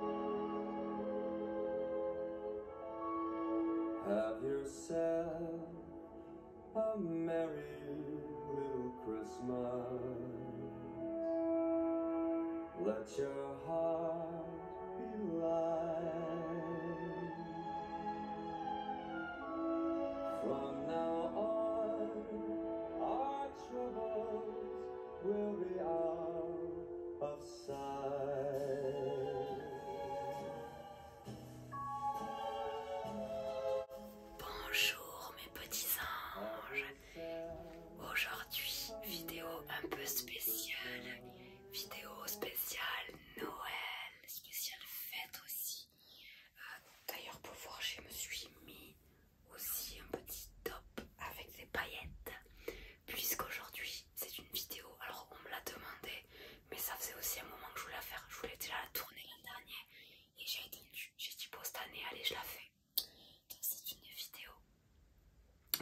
Have yourself a merry little Christmas. Let your heart be light. From now on, our troubles will be out of sight. Bonjour mes petits anges. Aujourd'hui, vidéo un peu spéciale. Vidéo spéciale Noël, spéciale fête aussi. Euh, d'ailleurs pour voir, je me suis mis aussi un petit top avec des paillettes puisqu'aujourd'hui c'est une vidéo alors on me l'a demandé mais ça faisait aussi un moment que je voulais la faire je voulais déjà la tourner l'an dernier et j'ai attendu j'ai dit pour cette année allez je la fais donc c'est une vidéo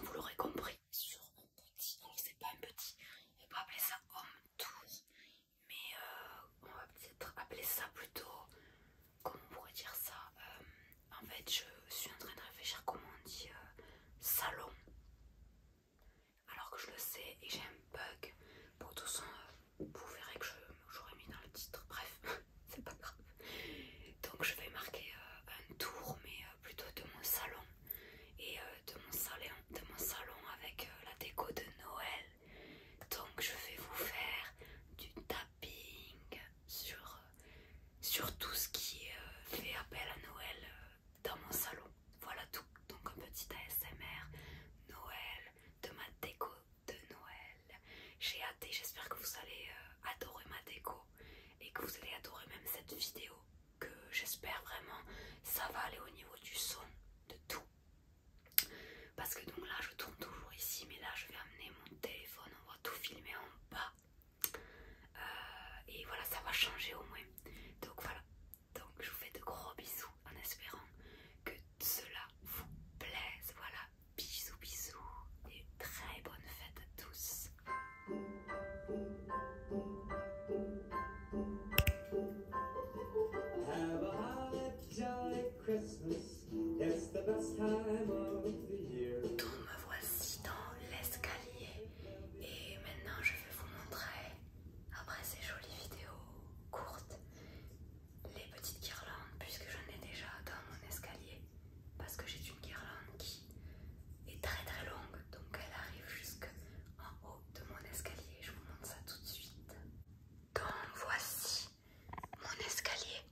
vous l'aurez compris sur un petit donc c'est pas un petit on pas appeler ça homme tour mais euh, on va peut-être appeler ça plutôt comment on pourrait dire ça euh, En fait, je suis en train de réfléchir comment on dit euh, salon, alors que je le sais et j'ai un bug. Pour tout ça, euh, vous verrez que j'aurais mis dans le titre. Bref, c'est pas grave. Donc, je vais marquer un tour, mais plutôt de mon salon et de, mon salon, de mon salon avec la déco de Noël. Donc, je vais vous faire du tableau sur, tout ce qui euh, fait appel à Noël euh, dans mon salon. Voilà tout. Donc un petit ASMR Noël, de ma déco de Noël. J'ai hâte et j'espère que vous allez euh, adorer ma déco et que vous allez adorer même cette vidéo que j'espère vraiment ça va aller au niveau du son, de tout. Parce que donc là je tourne toujours ici mais là je vais amener mon téléphone, on va tout filmer en bas euh, et voilà, ça va changer au moins. Donc voilà, donc je vous fais de gros bisous en espérant que cela vous plaise. Voilà, bisous bisous et très bonne fête à tous. Donc me voici dans l'escalier et maintenant je vais vous montrer, après ces jolies vidéos courtes, les petites guirlandes puisque j'en ai déjà dans mon escalier parce que j'ai une guirlande qui est très très longue donc elle arrive jusqu'en haut de mon escalier. Je vous montre ça tout de suite. Donc voici mon escalier.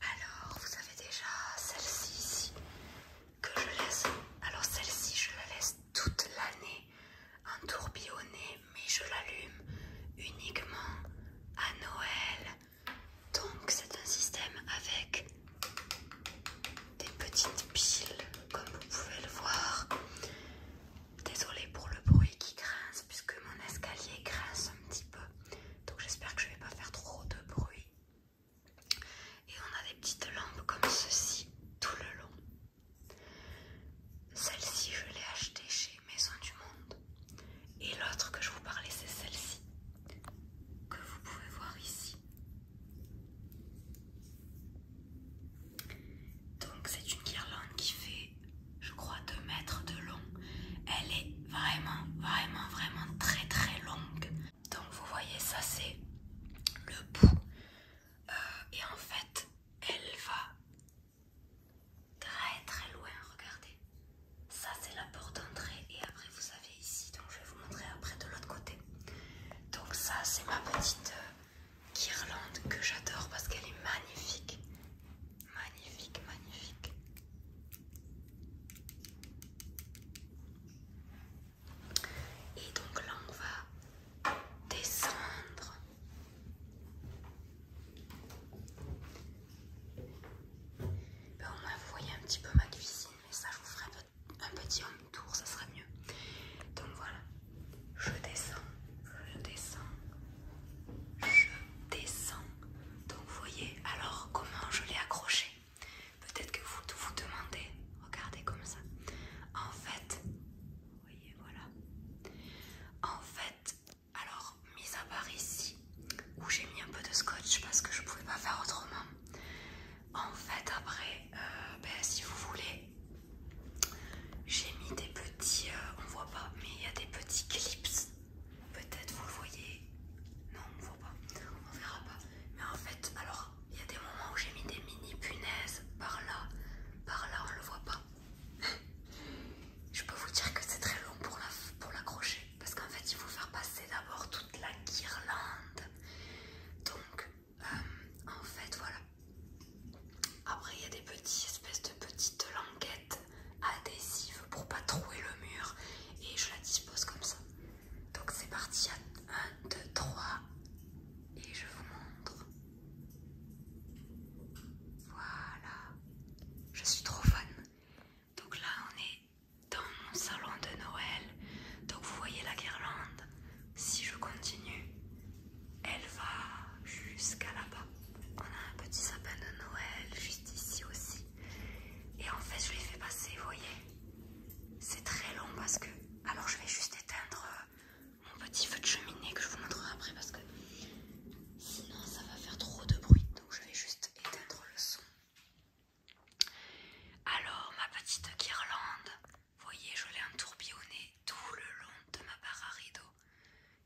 Alors, vous avez déjà celle-ci que je laisse. Alors, celle-ci, je la laisse toute l'année entourbillonnée mais je l'allume uniquement à Noël. Donc, c'est un système avec des petites piles, comme vous pouvez le voir. Désolée pour le bruit qui grince, puisque mon escalier grince un petit peu donc j'espère que je vais pas faire trop de bruit. Et on a des petites lampes comme ceci tout le long. Celle-ci, je l'ai achetée chez Maison du Monde. Et l'autre que je vous parlais, c'est celle-ci, que vous pouvez voir ici. Donc c'est une guirlande qui fait, je crois, 2 mètres de long elle est vraiment, vraiment, vraiment très, très longue. Donc vous voyez, ça c'est le bout. Euh, et en fait, elle va très, très loin. Regardez. Ça c'est la porte d'entrée. Et après, vous avez ici. Donc je vais vous montrer après de l'autre côté. Donc ça c'est ma petite euh, guirlande que j'adore parce qu'elle est magnifique. Magnifique, magnifique. Et donc là, on va descendre. Ben, au moins, vous voyez un petit peu ma cuisine, mais ça, je vous ferai un petit home ça serait mieux. Donc voilà, je descends, je descends, je descends. Donc vous voyez alors comment je l'ai accroché. Peut-être que vous vous demandez, regardez comme ça. En fait, vous voyez voilà. En fait, alors mis à part ici où j'ai mis un peu de scotch parce que je pouvais pas faire autrement. En fait après, euh, ben, si vous voulez, j'ai mis des petits, euh, on voit pas, mais il y a des petits clips Peut-être vous le voyez. Non, on ne voit pas. On verra pas. Mais en fait, alors, il y a des moments où j'ai mis des mini punaises par là. Par là, on ne le voit pas. Je peux vous dire que c'est très long pour l'accrocher. parce qu'en fait, il faut faire passer d'abord toute la guirlande. Donc, euh, en fait, voilà. Après, il y a des petites espèces de petites languettes adhésive pour pas trouer le mur et je la dispose comme ça. Donc c'est parti 1, 2, 3 et je vous montre. Voilà, je suis trop fan. Donc là on est dans mon salon de Noël. Donc vous voyez la guirlande. Si je continue, elle va jusqu'à là-bas on a un petit sapin de Noël juste ici aussi. Et en fait, je l'ai fait passer, vous voyez. C'est très long parce que... Alors, je vais juste éteindre euh, mon petit feu de cheminée que je vous montrerai après parce que sinon, ça va faire trop de bruit. Donc, je vais juste éteindre le son. Alors, ma petite guirlande, vous voyez, je l'ai entourbillonnée tout le long de ma barre à rideaux.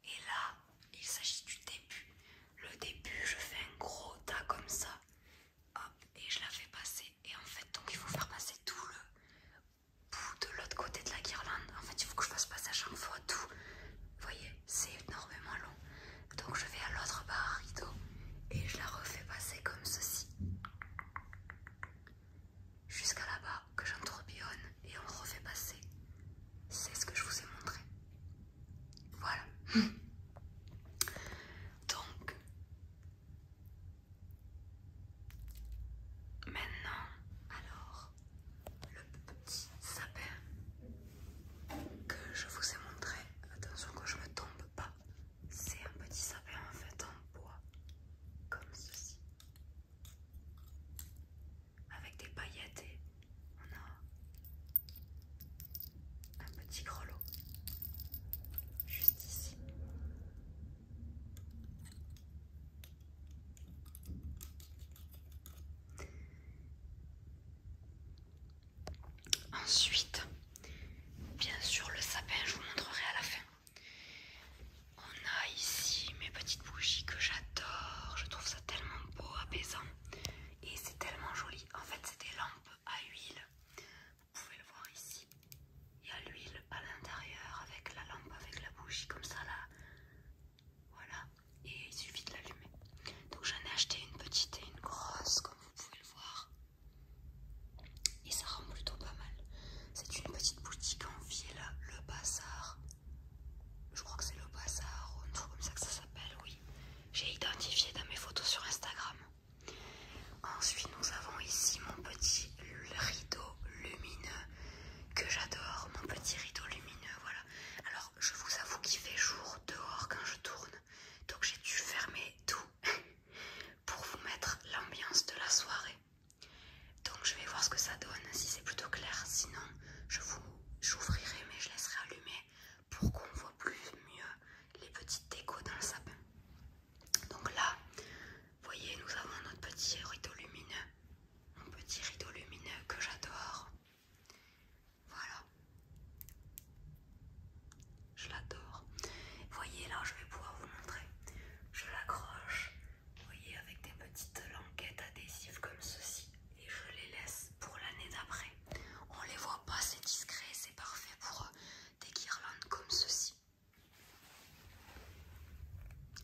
Et là, il s'agit du début. Le début, je fais un gros tas comme ça. et je la fais passer. Et en fait, donc il faut faire passer tout le bout de l'autre côté de la guirlande. En fait, il faut que je fasse passer à chaque fois tout. Vous voyez, c'est énormément long. Donc je vais à l'autre barre rideau et je la refais passer comme ceci. Jusqu'à là-bas, que j'entourbillonne et on refait passer. C'est ce que je vous ai montré. Voilà. Donc, maintenant, alors, le petit sapin que je vous ai montré, attention que je ne me tombe pas, c'est un petit sapin en fait en bois, comme ceci avec des paillettes et on a un petit grelot juste ici. Ensuite, bien sûr, le sapin, je vous montrerai à la fin. On a ici mes petites bougies que j'adore, je trouve ça tellement beau, apaisant et c'est tellement joli. En fait, c'est des lampes à huile. Vous pouvez le voir ici. Il y a l'huile à l'intérieur avec la lampe, avec la bougie comme ça là. Voilà. Et il suffit de l'allumer. Donc j'en ai acheté une petite et une grosse comme vous pouvez le voir. Et ça rend plutôt pas mal. C'est une petite boutique en ville, le bazar je crois que c'est le bazar, on trouve comme ça que ça s'appelle, oui. J'ai identifié dans mes photos sur Instagram. Ensuite, nous avons ici mon petit rideau lumineux que j'adore, mon petit rideau lumineux, voilà. Alors, je vous avoue qu'il fait jour dehors quand je tourne, donc j'ai dû fermer tout pour vous mettre l'ambiance de la soirée. Donc, je vais voir ce que ça donne, si c'est plutôt clair, sinon je vous j'ouvrirai mais je laisserai allumer pour qu'on voit plus mieux les petites décos dans le sapin. Donc là, voyez, nous avons notre petit rideau lumineux, mon petit rideau lumineux que j'adore. Voilà, je l'adore. Voyez, là, je vais pouvoir vous montrer. Je l'accroche, voyez, avec des petites languettes adhésives comme ceci et je les laisse pour l'année d'après. On les voit pas, c'est discret, c'est parfait pour euh, des guirlandes comme ceci.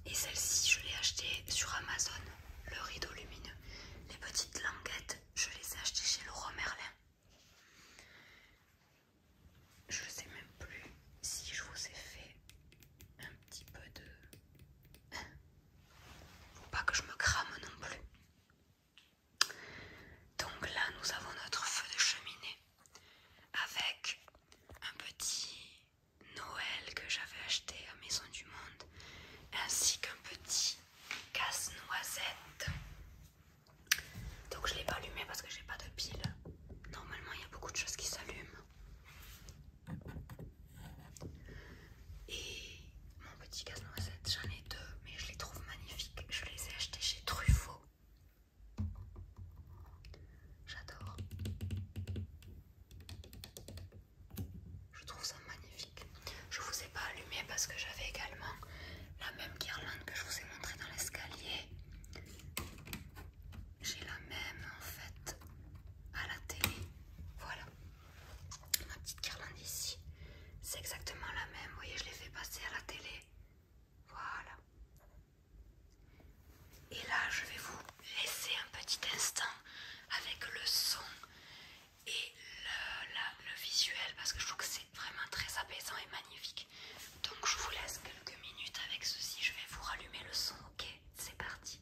Et celle-ci, je l'ai achetée sur Amazon, le rideau lumineux. Les petites languettes, je les ai achetées chez Laurent Merlin. Je sais même plus si je vous ai fait un petit peu de faut pas que je me crame non plus. Donc là, nous avons notre feu de cheminée avec un petit Noël que j'avais acheté à Maison du Monde ainsi qu'un petit casse-noisette. Donc je l'ai pas allumé parce que j'ai pas de pile. Normalement, il y a beaucoup de choses qui s'allument. Et mon petit casse-noisette, j'en ai deux, mais je les trouve magnifiques. Je les ai achetés chez Truffaut. J'adore. Je trouve ça magnifique. Je vous ai pas allumé parce que j'avais également la même guirlande que je vous ai montrée dans l'escalier. J'ai la même en fait à la télé. Voilà ma petite guirlande ici. C'est exactement la même. Vous voyez, je l'ai fait passer à la télé. Voilà. Et là, je vais vous laisser un petit instant avec le son et le, le visuel parce que je trouve que c'est vraiment très apaisant et magnifique. Donc, je vous laisse quelques minutes avec ceci. Je vais vous rallumer le son, ok C'est parti.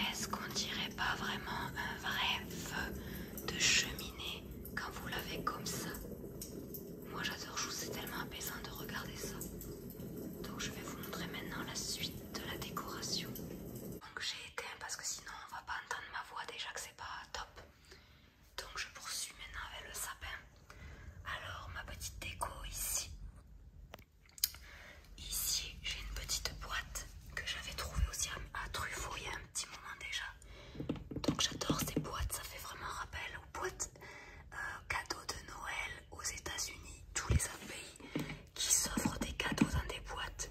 Est-ce qu'on dirait pas vraiment un vrai feu de cheminée quand vous l'avez comme ça moi j'adore jouer, c'est tellement apaisant de regarder ça. Donc je vais vous montrer maintenant la suite de la décoration. Donc j'ai éteint parce que sinon on va pas entendre ma voix déjà que c'est pas top. Donc je poursuis maintenant avec le sapin. Alors ma petite déco ici. Ici j'ai une petite boîte que j'avais trouvée aussi à Truffaut il y a un petit moment déjà. Donc j'adore ces boîtes, ça fait vraiment rappel aux boîtes euh, cadeaux de Noël aux États-Unis, tous les autres qui s'offrent des cadeaux dans des boîtes.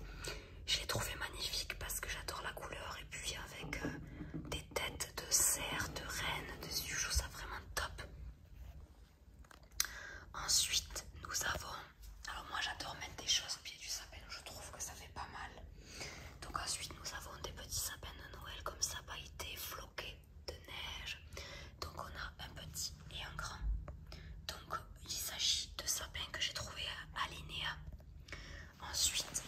Je l'ai trouvé magnifique parce que j'adore la couleur et puis avec euh, des têtes de cerfs, de rennes, de je trouve ça vraiment top. Ensuite, nous avons. Alors, moi j'adore mettre des choses au pied du sapin, je trouve que ça fait pas mal. Donc, ensuite, nous avons des petits sapins de Noël comme ça, pailletés, de neige. Donc on a un petit et un grand. Donc il s'agit de sapins que j'ai trouvé à l'INEA. Ensuite,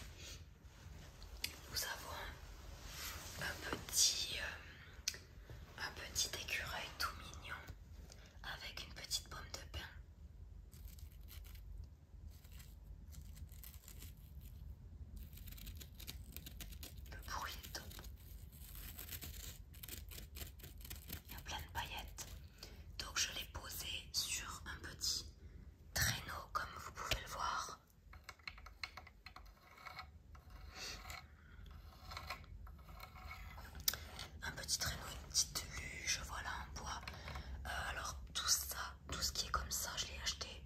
nous avons un petit, euh, un petit écureuil tout mignon avec une petite pomme de pin. Le bruit est Il y a plein de paillettes. Donc je l'ai posé sur un petit traîneau comme vous pouvez le voir. Un petit traîneau, une petite luge, voilà en bois. Euh, alors tout ça tout ce qui est comme ça, je l'ai acheté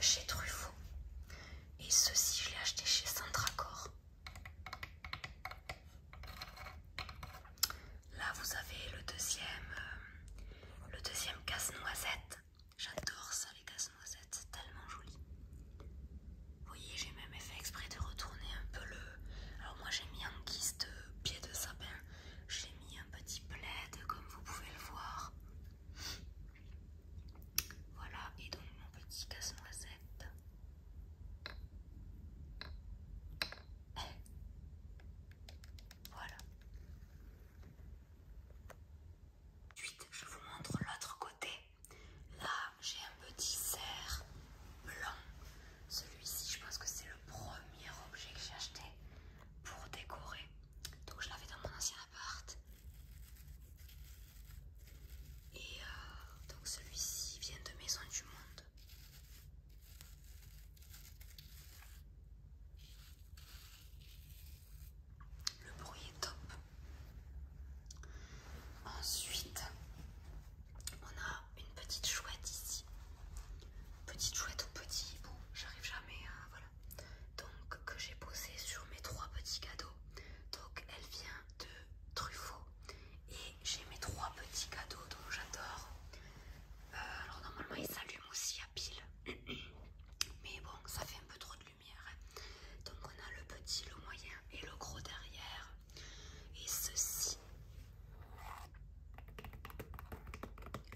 chez Truffaut. Et ceci, je l'ai acheté chez Centracor. Là, vous avez le deuxième, euh, le deuxième casse-noisette. J'adore ça, les casse-noisettes, c'est tellement joli. Vous voyez, j'ai même fait exprès de retourner un peu le. Alors, moi, j'ai mis en guise de pied de sapin, j'ai mis un petit plaid, comme vous pouvez le voir. Voilà, et donc mon petit casse-noisette. Voilà. je vous montre l'autre côté. Là, j'ai un petit cerf blanc. Celui-ci, je pense que c'est le premier objet que j'ai acheté pour décorer. Donc, je l'avais dans mon ancien et euh, donc celui-ci vient de Maison du Monde. Le bruit est top. Ensuite, on a une petite chouette ici. Petite chouette ou petit hibou, j'arrive jamais à donc que j'ai posé sur mes trois petits cadeaux. Donc elle vient de Truffaut et j'ai mes trois petits cadeaux dont j'adore. Euh, alors normalement ils s'allument aussi à pile, mais bon ça fait un peu trop de lumière. Hein. Donc on a le petit, le moyen et le gros derrière. Et ceci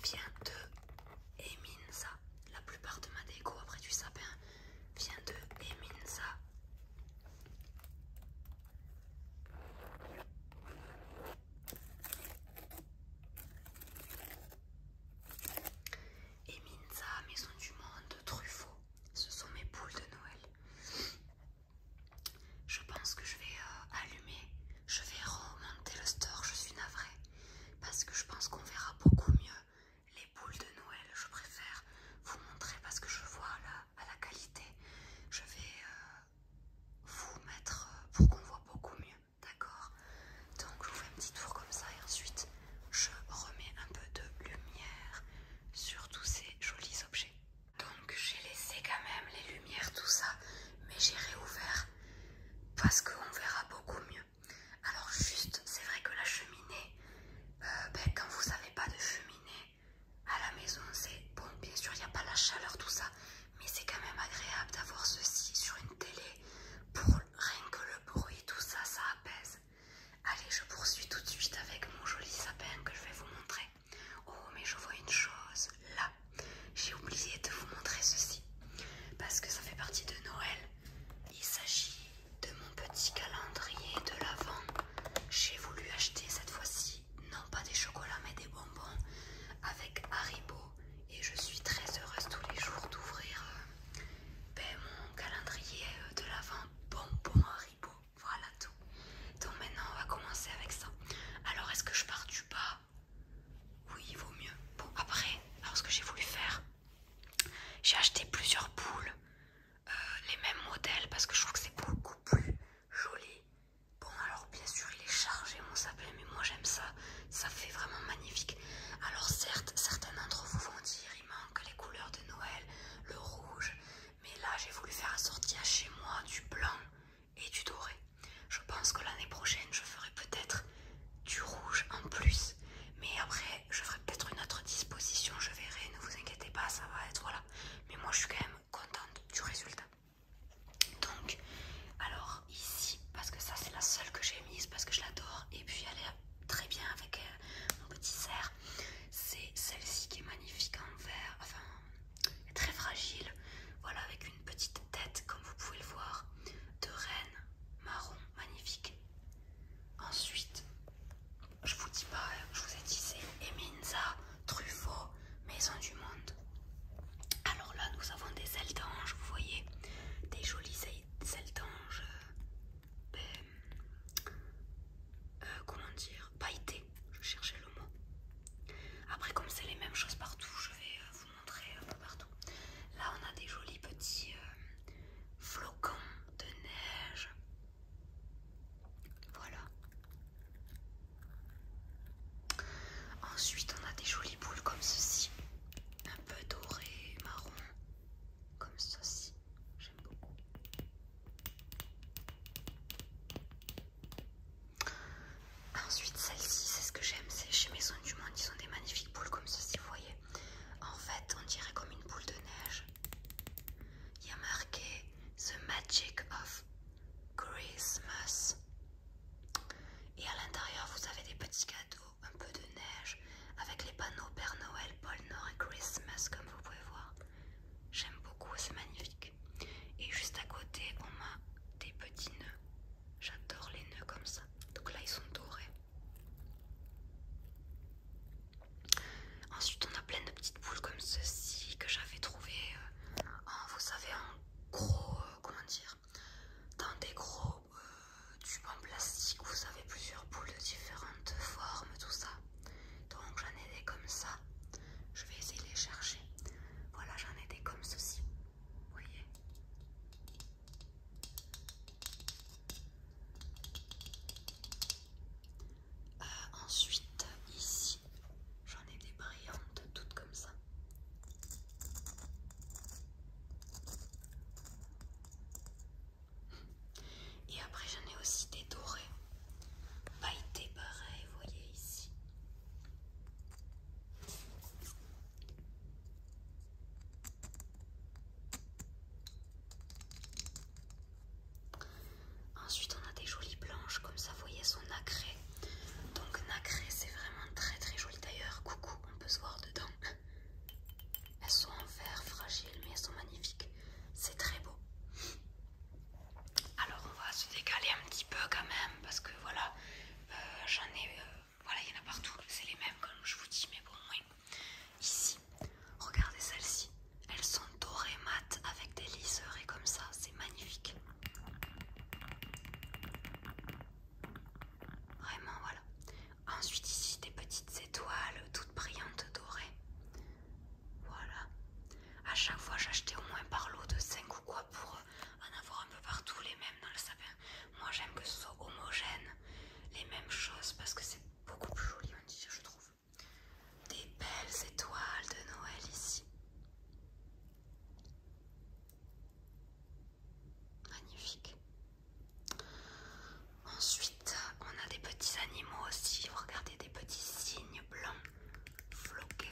vient de Eminza. La plupart de ma déco après du sapin vient de Eminza. Eminza, Maison du Monde, Truffaut. Ce sont mes poules de Noël. Je pense que je vais euh, allumer je vais remonter le store, je suis navrée, parce que je pense qu'on verra beaucoup mieux les boules de Noël. Je préfère vous montrer parce que je vois là à la qualité. Je vais euh, vous mettre euh, pour qu'on voit beaucoup mieux, d'accord Donc je vous fais un petit tour comme ça et ensuite je remets un peu de lumière sur tous ces jolis objets. Donc j'ai laissé quand même les lumières, tout ça, mais j'ai réouvert parce qu'on verra beaucoup mieux. Alors juste, c'est vrai que la cheminée, euh, ben, quand vous n'avez pas de cheminée à la maison, c'est bon, bien sûr, il n'y a pas la chaleur, tout ça, mais c'est quand même agréable d'avoir ceci sur une télé pour rien que le bruit, tout ça, ça apaise. Allez, je poursuis tout de suite avec mon joli sapin que je vais vous montrer. Oh, mais je vois une chose là j'ai oublié de vous montrer ceci parce que ça fait partie de Noël. Il s'agit de mon petit calendrier de l'Avent. J'ai voulu acheter cette fois-ci non pas des chocolats mais des bonbons avec Haribo et je suis très heureuse tous les jours d'ouvrir euh, ben, mon calendrier euh, de l'Avent bonbons Haribo. Voilà tout. Donc maintenant on va commencer avec ça. Alors est-ce que je pars du bas oui il vaut mieux bon après alors ce que j'ai voulu faire j'ai acheté plusieurs boules euh, les mêmes modèles parce que je trouve que c'est beaucoup plus joli bon alors bien sûr il est chargé mon sapin mais moi j'aime ça ça fait vraiment magnifique alors certes certains d'entre vous vont dire il manque les couleurs de Noël le rouge mais là j'ai voulu faire assortir chez moi du blanc et du doré. Je pense que l'année prochaine, je ferai peut-être du rouge en plus. Mais après, je ferai peut-être une autre disposition, je verrai, ne vous inquiétez pas, ça va être, voilà. Mais moi, je suis quand même contente du résultat. Donc, alors ici, parce que ça, c'est la seule que j'ai mise, parce que je l'adore, et puis elle est très bien avec euh, mon petit cerf. C'est celle-ci qui est magnifique en vert, enfin, très fragile, voilà, avec une petite tête, comme vous pouvez le voir, de reine marron, magnifique. Ensuite, je vous dis pas, je vous ai dit c'est Eminza, Truffaut, Maison du Monde. Alors là, nous avons des ailes d'ange, vous voyez, des jolies ailes e-, d'anges euh, ben, euh, comment dire, pailleté je cherchais le mot. Après, comme c'est les mêmes choses partout, je vais euh, vous un peu partout. Là, on a des jolis petits euh, flocons de neige. Voilà. Ensuite, on a des jolies boules comme ceci, un peu dorées, marron, comme ceci. J'aime beaucoup. Ensuite, celle-ci, c'est ce que j'aime, c'est chez Maison du Monde, ils ont des magnifiques boules comme ceci, vous voyez. En fait, on dirait comme une boule de neige. Il y a marqué The Magic of Christmas. Et à l'intérieur, vous avez des petits cadeaux, un peu de neige, avec les panneaux Père Noël, Paul Nord et Christmas, comme vous pouvez voir. J'aime beaucoup, c'est magnifique. Et juste à côté, on a des petits nœuds J'adore les nœuds comme ça. Donc là, ils sont dorés. Ensuite, on a plein de petites boules comme ceci que j'avais trouvé euh, en, vous savez, en gros, euh, comment dire, dans des gros euh, tubes en plastique. Vous avez plusieurs boules de différentes formes, tout ça. Donc j'en ai des comme ça. Je vais essayer de les chercher. Voilà, j'en ai des comme ceci. Vous voyez euh, Ensuite, ici, j'en ai des brillantes, toutes comme ça. Et après, j'en ai aussi des dorés, pailletés pareil, vous voyez ici. Ensuite, on a des jolies blanches, comme ça, vous voyez, elles sont nacrées. Donc, nacrées, c'est vraiment très très joli. D'ailleurs, coucou, on peut se voir dedans. Elles sont en verre fragile, mais elles sont magnifiques. C'est très beau. Alors, on va se décaler un petit peu quand même, parce que voilà, euh, j'en ai, euh, voilà, il y en a partout, c'est les mêmes comme je vous dis, mais bon, oui. Ici, regardez celles-ci, elles sont dorées mates, avec des liseurs comme ça, c'est magnifique. Vraiment, voilà. Ensuite, ici, des petites étoiles toutes brillantes dorées. Voilà. À chaque fois, j'achetais au moins par lot de 5 ou quoi pour euh, en avoir un peu partout les mêmes dans le sapin. Moi j'aime que ce soit homogène, les mêmes choses parce que c'est beaucoup plus joli, on dit, je trouve. Des belles étoiles de Noël ici. Magnifique. Ensuite, on a des petits animaux aussi. Regardez des petits cygnes blancs floqués.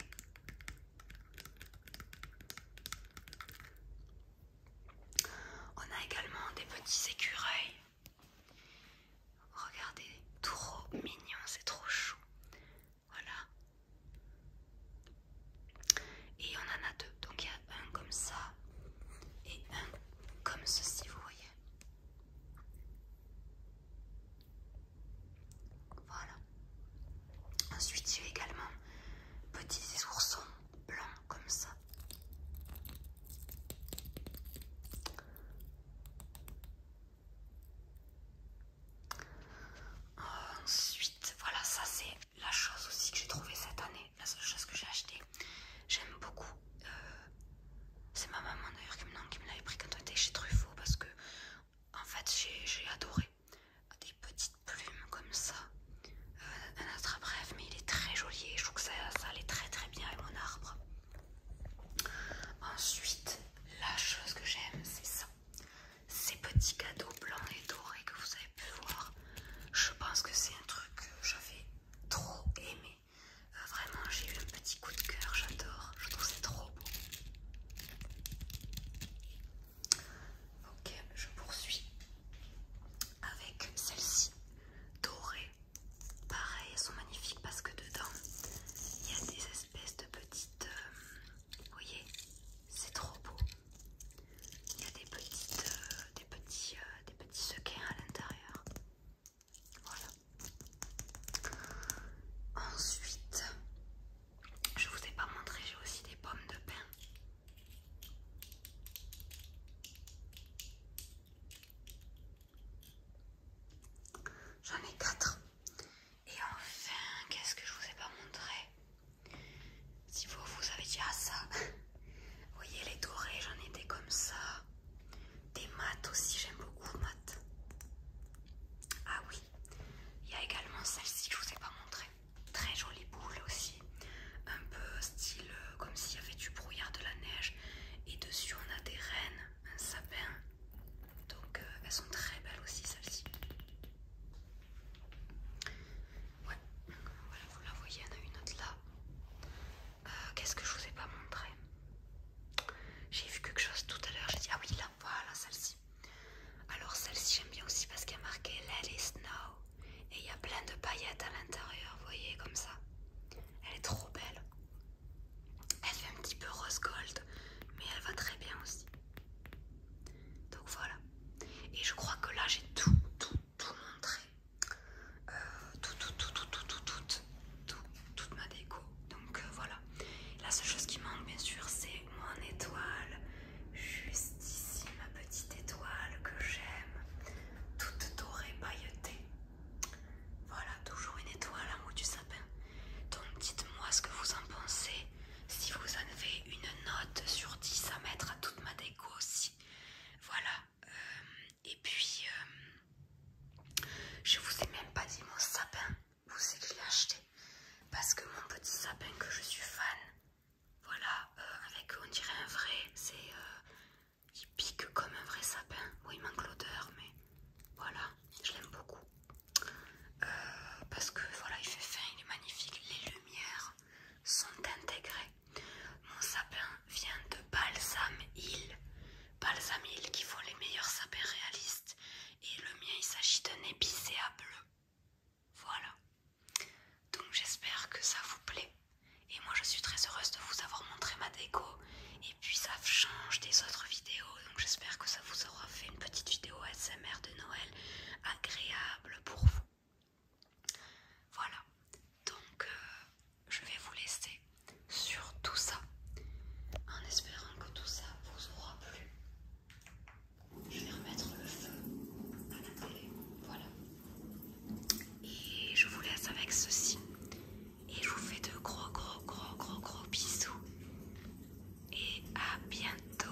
On a également des petits écureuils. Regardez, trop mignon, c'est trop chou. Voilà. Et on en a deux. Donc il y a un comme ça et un comme ceci, vous voyez. Voilà. Ensuite, j'ai également petits oursons blancs comme ça. Ensuite, voilà, ça c'est la chose aussi que j'ai trouvée cette année, la seule chose que j'ai acheté, J'aime beaucoup. Euh, c'est ma maman d'ailleurs qui me l'avait pris quand on était chez Truffaut parce que, en fait, j'ai adoré. Euh, des petites plumes comme ça. Euh, un autre bref, mais il est très joli et je trouve que ça, allait très très bien avec mon arbre. Ensuite, la chose que j'aime, c'est ça. Ces petits cadeaux blancs et dorés que vous avez pu voir. Je pense que c'est un truc que j'avais trop aimé. Euh, vraiment, j'ai eu un petit coup de cœur, j'adore. Je trouve c'est trop beau. Ok, je poursuis avec celle-ci dorée. Pareil, elles sont magnifiques parce que dedans il y a des espèces de petites. Euh, vous voyez, c'est trop beau. Il y a des petites, euh, des petits, euh, des petits sequins à l'intérieur. Voilà. Ensuite, je vous ai pas montré, j'ai aussi des pommes de pin. J'en ai 4 Et enfin, qu'est-ce que je vous ai pas montré Si vous vous avez dit ça, voyez les dorés, j'en ai des comme ça. Des maths aussi, j'aime beaucoup maths. Ah oui, il y a également celle-ci que je vous ai pas montrée. Très jolie boule aussi. Un peu style euh, comme s'il y avait du brouillard, de la neige. Et dessus on a des rennes, un sapin. Donc euh, elles sont très belles aussi celles-ci. voilà, vous la voyez, il y en a une autre là. Euh, qu'est-ce que je vous ai pas montré J'ai vu quelque chose tout à l'heure, j'ai dit ah oui là voilà celle-ci. Alors celle-ci j'aime bien aussi parce qu'il y a marqué Let it snow et il y a plein de paillettes à l'intérieur, vous voyez comme ça. Elle est trop belle. Elle fait un petit peu rose gold, mais elle va très bien aussi. Donc voilà. Et je crois que là j'ai tout, tout, tout montré. Euh, tout, tout, tout, tout, tout, tout, toute ma déco. Donc euh, voilà, la seule chose qui manque, bien sûr, c'est mon étoile. Juste ici, ma petite étoile que j'aime. Toute dorée, pailletée. Voilà, toujours une étoile en du sapin. Donc dites-moi ce que vous en pensez. Si vous en avez une note sur 10 à mettre à toute ma déco aussi. Voilà. Euh, et puis, euh, je vous ai même pas dit mon sapin. Vous c'est que je l'ai acheté parce que mon petit sapin que je suis fan voilà euh, avec on dirait un vrai c'est euh, il pique comme un vrai sapin Oui, il manque l'odeur mais voilà je l'aime beaucoup euh, parce que voilà il fait fin il est magnifique les lumières sont intégrées mon sapin vient de Balsam Hill Balsam Hill qui font les meilleurs sapins réalistes et le mien il s'agit d'un épicéa bleu. Voilà. Donc j'espère que ça vous plaît. Et moi je suis très heureuse de vous avoir montré ma déco. Et puis ça change des autres vidéos. Donc j'espère que ça vous aura fait une petite vidéo ASMR de Noël agréable pour vous. Voilà. Donc euh, je vais vous laisser sur tout ça. En espérant que tout ça vous aura plu, je vais remettre le feu à la télé. Voilà. Et je vous laisse avec ceci. Et je vous fais de gros, gros, gros, gros, gros bisous. Et à bientôt.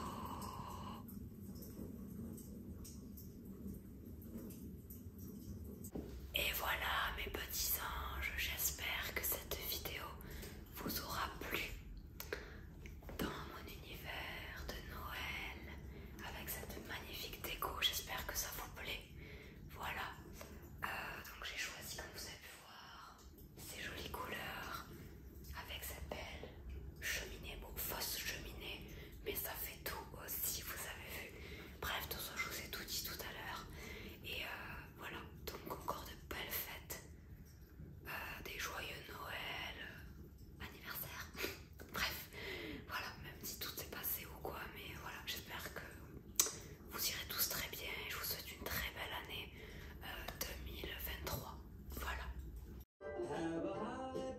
Et voilà mes petits anges, j'espère que cette vidéo vous aura plu dans mon univers de Noël avec cette magnifique déco. J'espère que ça vous plaît. Voilà. Euh, donc j'ai choisi, comme vous avez pu voir, ces jolies couleurs avec cette belle cheminée, bon, fausse cheminée, mais ça fait tout aussi, vous avez vu. Bref, tout ça, je vous ai tout dit tout à l'heure. Et euh, voilà, donc encore de belles fêtes, euh, des joyeux Noël, euh, anniversaire, bref, voilà, même si tout s'est passé ou quoi, mais voilà, j'espère que vous irez tous très bien et je vous souhaite une très belle année 2023. Euh, voilà.